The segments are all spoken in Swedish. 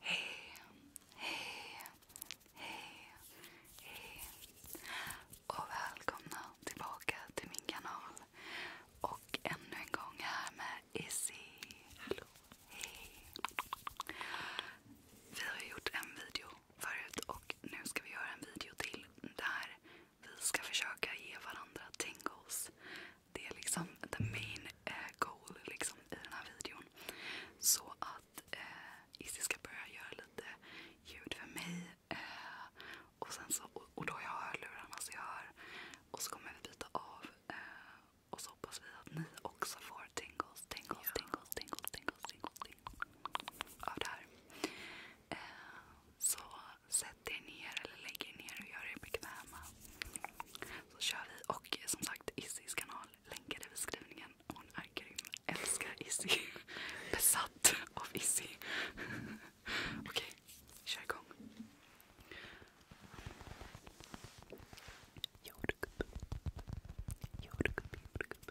Hej, hej, hej, hej och välkomna tillbaka till min kanal. Och ännu en gång här med Izzy. Hallå. Hej. Vi har gjort en video förut och nu ska vi göra en video till där vi ska försöka ge varandra tingles. Det är liksom the main eh, goal liksom, i den här videon. Så att eh, Izzy ska börja göra lite ljud för mig. Eh, och, sen så, och, och då har jag hörlurarna så jag hör. Och så kommer vi byta av. Eh, och så hoppas vi att ni också får tingles, tingles, tingles, tingles, tingles, tingles, tingles, tingles av det här. Eh, så sätt er ner eller lägg er ner och gör er bekväma. Så kör vi. Och som sagt, Izzys kanal länkar i beskrivningen. Hon är grym. Älskar Izzy. Besatt av Izzy. Okej, kör igång. Jordgubb. Jordgubb, jordgubb.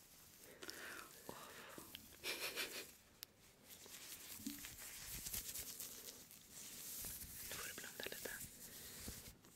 Oh. Nu får du blunda lite.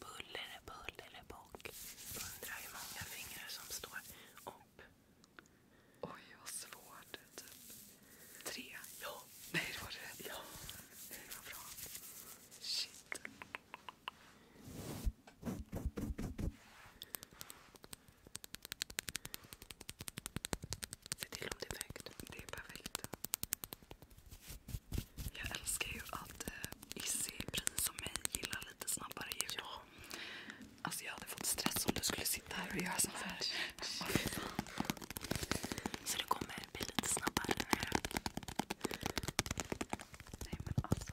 Buller, buller, bock. Undrar hur många fingrar som står upp. Oj, vad svårt. Typ tre? Ja. Nej, det var rätt. Ja. Det var bra. Shit. Se till om det är perfekt. Det är perfekt. Jag älskar ju att eh, Issy, precis som mig, gillar lite snabbare ljud. Ja. Alltså jag hade fått stress om du skulle sitta här och göra så här. Oh, så det kommer bli lite snabbare nu. Nej men alltså.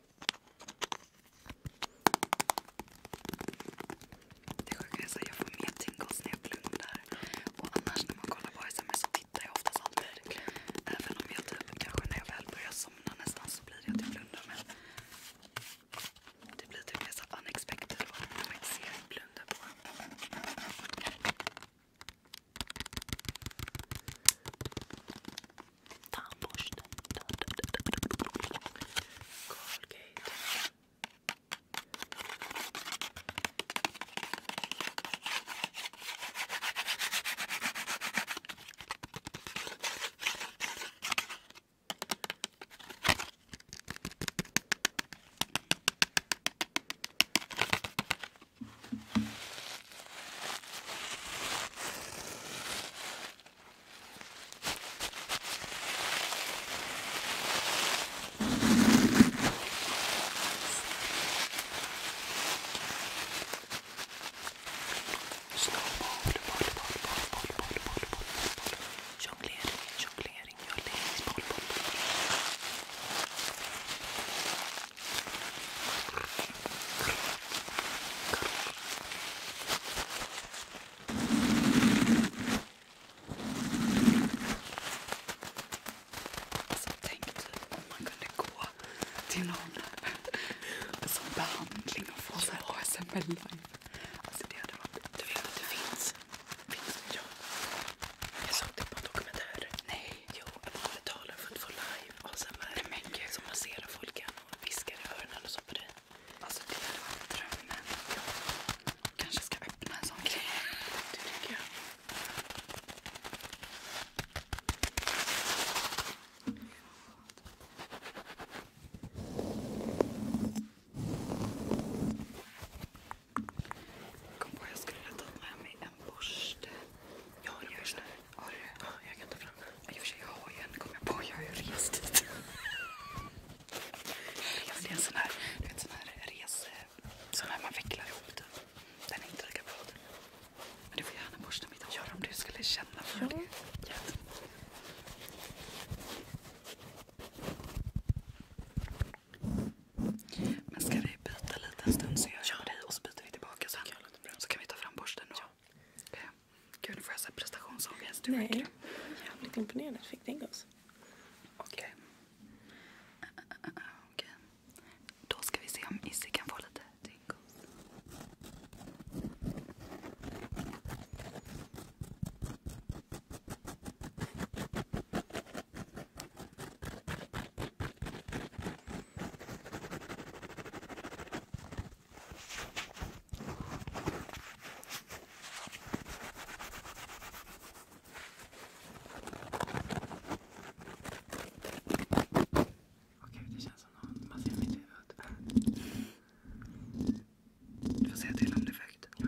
Det sjuka är att jag får mer tingles när jag blundar. Och annars när man kollar på ASMR så tittar jag oftast alltid. Även eh, om jag typ, kanske när jag väl börjar somna nästan så blir det att jag blundar. Men det blir typ mer så unexpected när man inte ser att blunda på. Tandborsten. Colgate. Snowboard, boll, boll, boll, boll, boll, boll, boll. Jonglering, jonglering, jonglering, boll, boll, boll. Alltså tänk typ om man kunde gå till någon behandling och få ASMR live. Alltså, du vet att det finns? Finns det? Ja. Jag såg det typ på en dokumentär. Nej. Jo, man betalar för att få live ASMR. Som masserar folk och viskar i öronen och så på dig. Alltså det hade varit drömmen. Kanske ska öppna en sån grej. Det tycker jag. Jag kom på att jag skulle ta med mig en borste. Jag har en borste. Har du? Jag kan ta fram den. I och för sig, jag har ju en. Kom jag på. Jag har ju rest dit. Det är en sån här, du vet, sån här rese... Sån här man vecklar ihop typ. Den är inte lika bra. Men du får gärna borsta mitt hår om du skulle känna för det. Men ska vi byta lite en stund så gör jag ja. dig och så byter vi tillbaka sen. Så kan vi ta fram borsten och Gud, nu får jag så prestationsångest. Du Nej. verkar jävligt imponerad att du fick tänka Okej. Okay. Då ska vi se om Izzy kan få lite tingles. Okej, det känns som något man ser i mitt huvud. Du får säga till om det är för högt. Ja.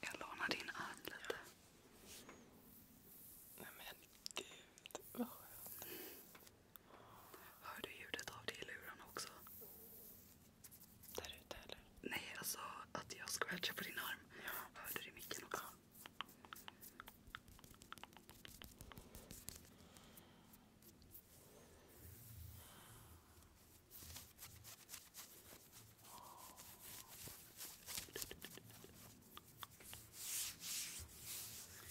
Jag lånar din hand lite. Nej men gud, vad skönt. Hör du ljudet av det i luren också? där ute eller? Nej, jag alltså, sa att jag scratchar på din arm. Hörde du i micken också? Ja.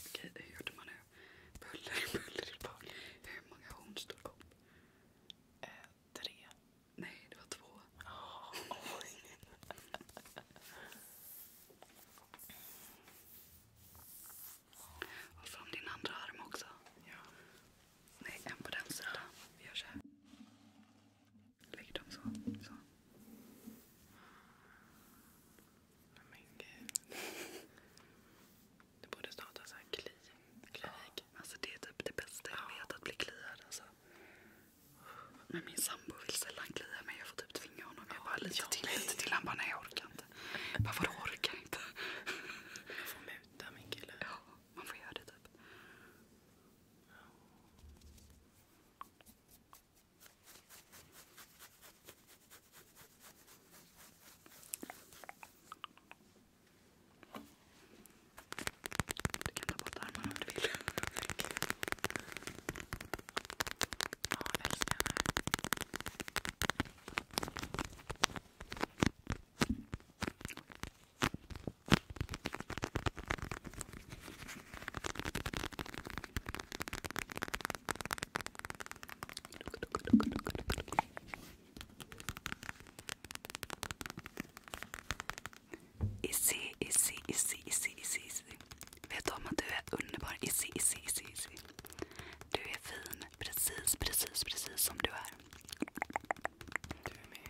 Okej, hur gjorde man nu? Buller, buller i Hur många horn stod upp? Eh, tre. Nej, det var två. Oh, oj. Och från din andra arm också. Ja. Nej, en på den sidan. Vi gör så här. Lägger dem så. så. Men gud. Det borde starta så här kli. Klinik. Alltså det är typ det bästa jag vet, att bli kliad. Alltså. Men min sambo vill sällan klia mig. Jag får typ tvinga honom. Jag bara lite till, lite till. Han bara nej jag orkar inte. Jag bara vadå orkar inte? Jag får muta min kille. Ja, man får göra det typ. Du kan ta bort armarna om du vill. Ja, jag älskar henne. Izzy, Izzy, Izzy, Izzy, Izzy, Izzy. Vet om att du är underbar? Izzy, Izzy, Izzy, Izzy. Du är fin. Precis, precis, precis som du är. Du är med.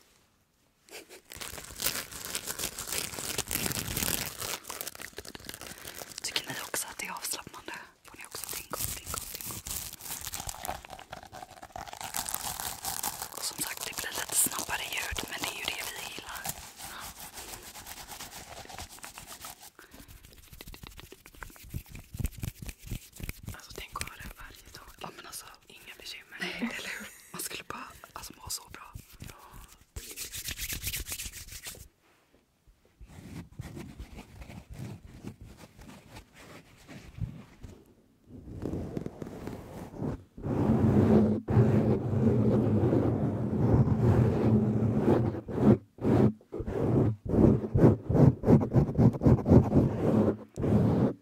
Tycker ni också att det är avslappnande? Får ni också tänka om, som sagt, det blir lite snabbare ljud, men det är ju det vi gillar. Alltså tänk att ha det varje dag. Ja, men alltså, Inga bekymmer. Nej. Eller hur? Man skulle bara alltså, må så bra.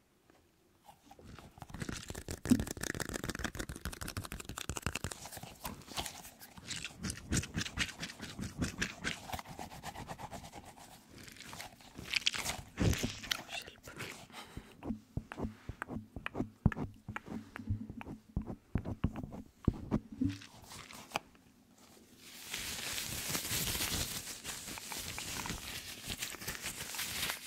Hjälp.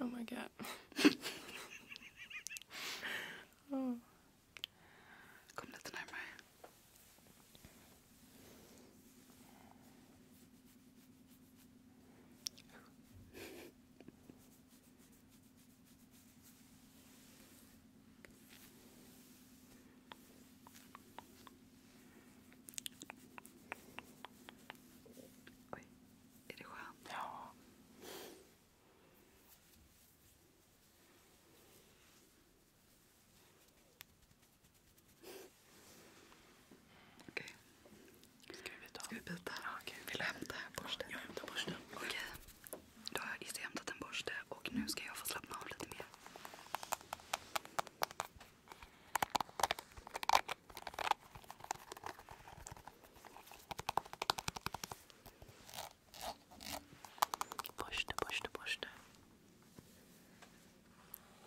Oh my god. oh. Kom lite närmare. Oj, är det skönt? Ja. Okej. Ska vi byta? Ska vi byta? Ja, okay. Vill du hämta borsten? Jag hämtar borsten. Okej. Okay. Då har jag just hämtat en borste och nu ska jag få slappna av lite mer. Borste, borste, borste.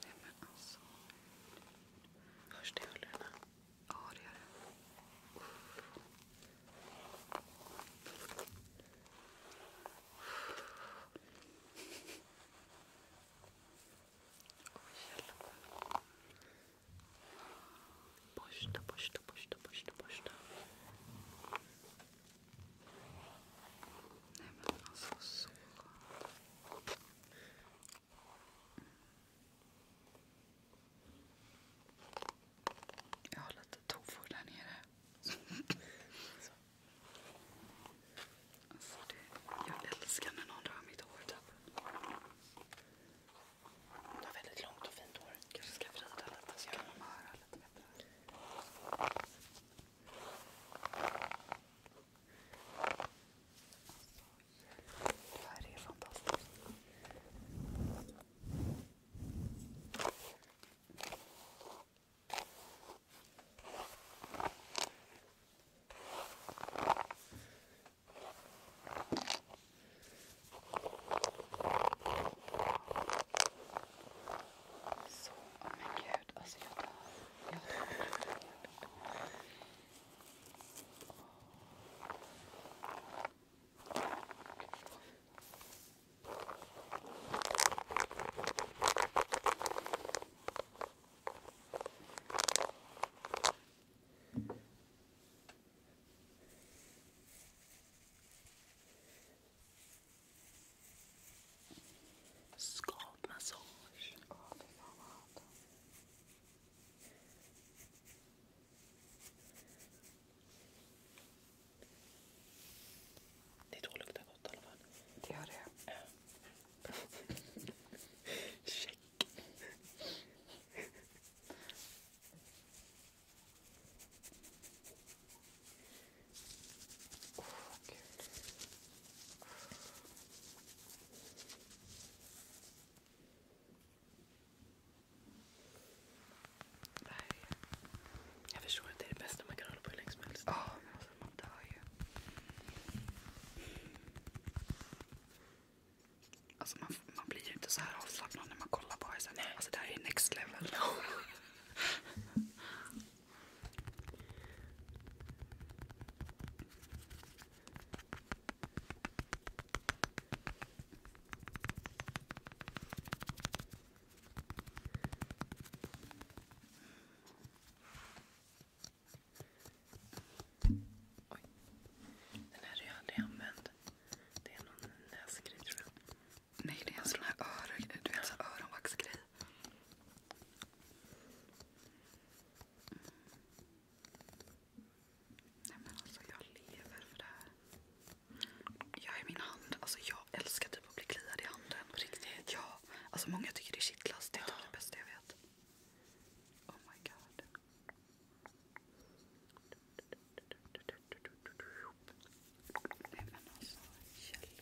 Nej men alltså. Hörs det i hörlurarna? Ja det gör det. Uff. Oj, borsta, borsta, borsta, Nej men alltså så gott. Jag har lite tofu där nere. Så. Alltså det, jag älskar när någon rör mitt hår typ. Du har väldigt långt och fint hår. Kanske ska vrida lite så kan man höra lite bättre. Alltså, det här är fantastiskt. Så, oh men gud, alltså jag dör. Jag dör. Skavmassage. Åh, fy fan vad hot. Det är luktar gott i alla fall. Det gör det. Check. Oh, Nej. Jag förstår att det är det bästa man kan hålla på hur länge som helst. Ja, Alltså man dör ju. Alltså man, man blir ju inte så här avslappnad när man kollar på ASMR. Alltså det här är ju next level. Den här har jag aldrig använt. Det är någon näsgrej tror jag. Nej, det är en sån här öronvaxgrej. Mm. Nej men alltså jag lever för det här. Alltså jag älskar typ att bli kliad i handen den. På riktigt? Ja. Alltså många tycker det är shitlast. Det är typ det bästa jag vet. Oh my god. Nej men alltså, hjälp.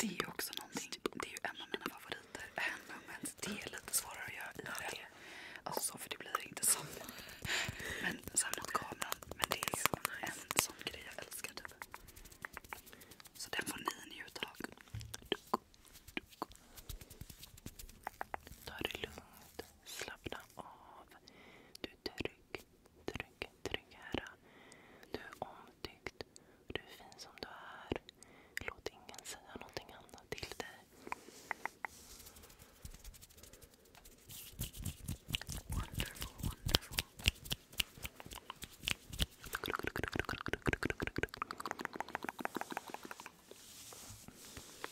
Det är också någonting, det är ju en av mina favoriter. Handmoments. Det är lite svårare att göra i det. Alltså för det blir inte som men så mot kameran. Men det är ju en sån grej jag älskar typ. Så den får ni njuta av. Ta det lugnt ut. Slappna av. Du är trygg, trygg, trygg här. Du är omtyckt. Du är fin som du är. Låt ingen säga någonting annat till dig. Wonderful, wonderful.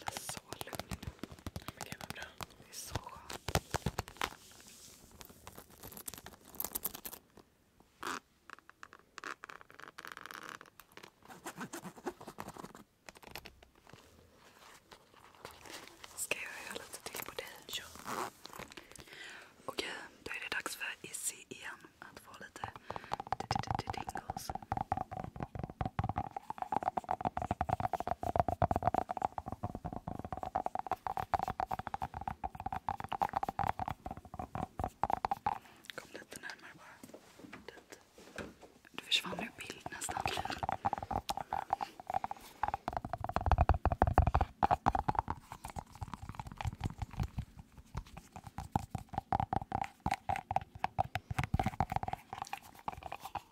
Eller så lugn. Det är så skönt. Ska jag göra lite till på dig? Okej, då är det dags för Izzy igen att få lite tingles. Kom lite närmare bara. Dit. försvann ur bild nästan.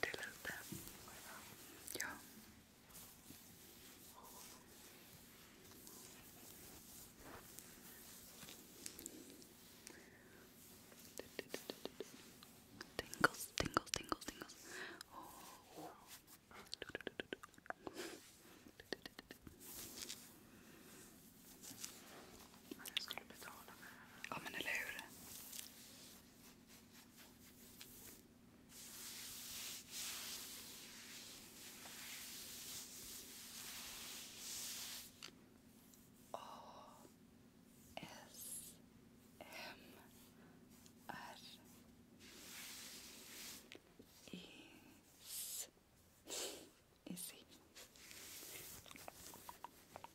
Blir det lite? Ja. Tingles, tingles, tingles, tingles. Oh. Men jag skulle betala med det här. Ja men eller hur? A S M R Is Izzy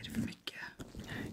Är det för mycket? Nej.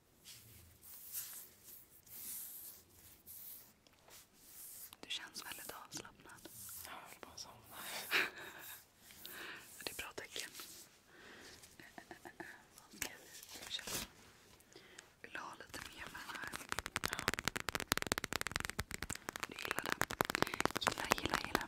Du känns väldigt avslappnad. Jag höll på att somna. det är bra tecken. Vad ska vi köpa? Vill du ha lite mer med den här? Ja. Du gillar den? Gilla, gilla, gilla.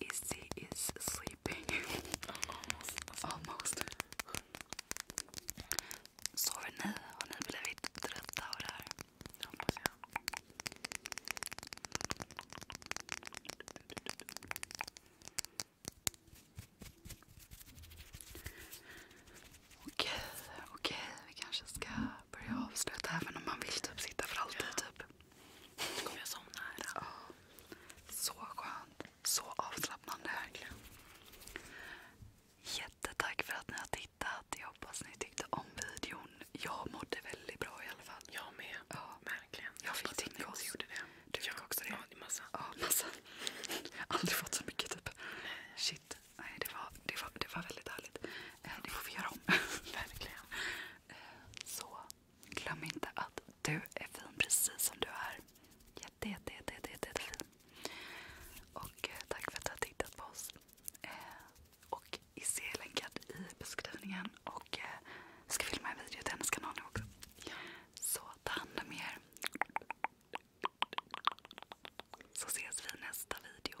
is he is sleeping. almost. Almost. Sover ni? Har ni blivit trötta av Okej, okej. Vi kanske ska börja avsluta även om man vill typ sitta för alltid. Ja. Typ. Nu kommer jag somna här. Oh, så skönt. Så avslappnande. Verkligen. Jättetack för att ni har tittat. Jag hoppas ni tyckte om videon. Jag mådde väldigt bra i alla fall. Jag med. Ja. Verkligen. Jag, jag fick tänka också. Gjorde det. Du fick ja. också det? Ja, det massa. Ja, massa. Aldrig fått så mycket typ. Nej. Shit. Nej, det var, det var, det var väldigt härligt. Eh, det får vi göra om. Verkligen. Eh, så Glöm inte att du är fin precis som du är. Jätte, jätte, jätte, Och eh, tack för att du har tittat på oss. Eh, och Izzy är i beskrivningen. Och eh, ska filma en video till hennes kanal nu också. Så ta hand om er. Så ses vi i nästa video.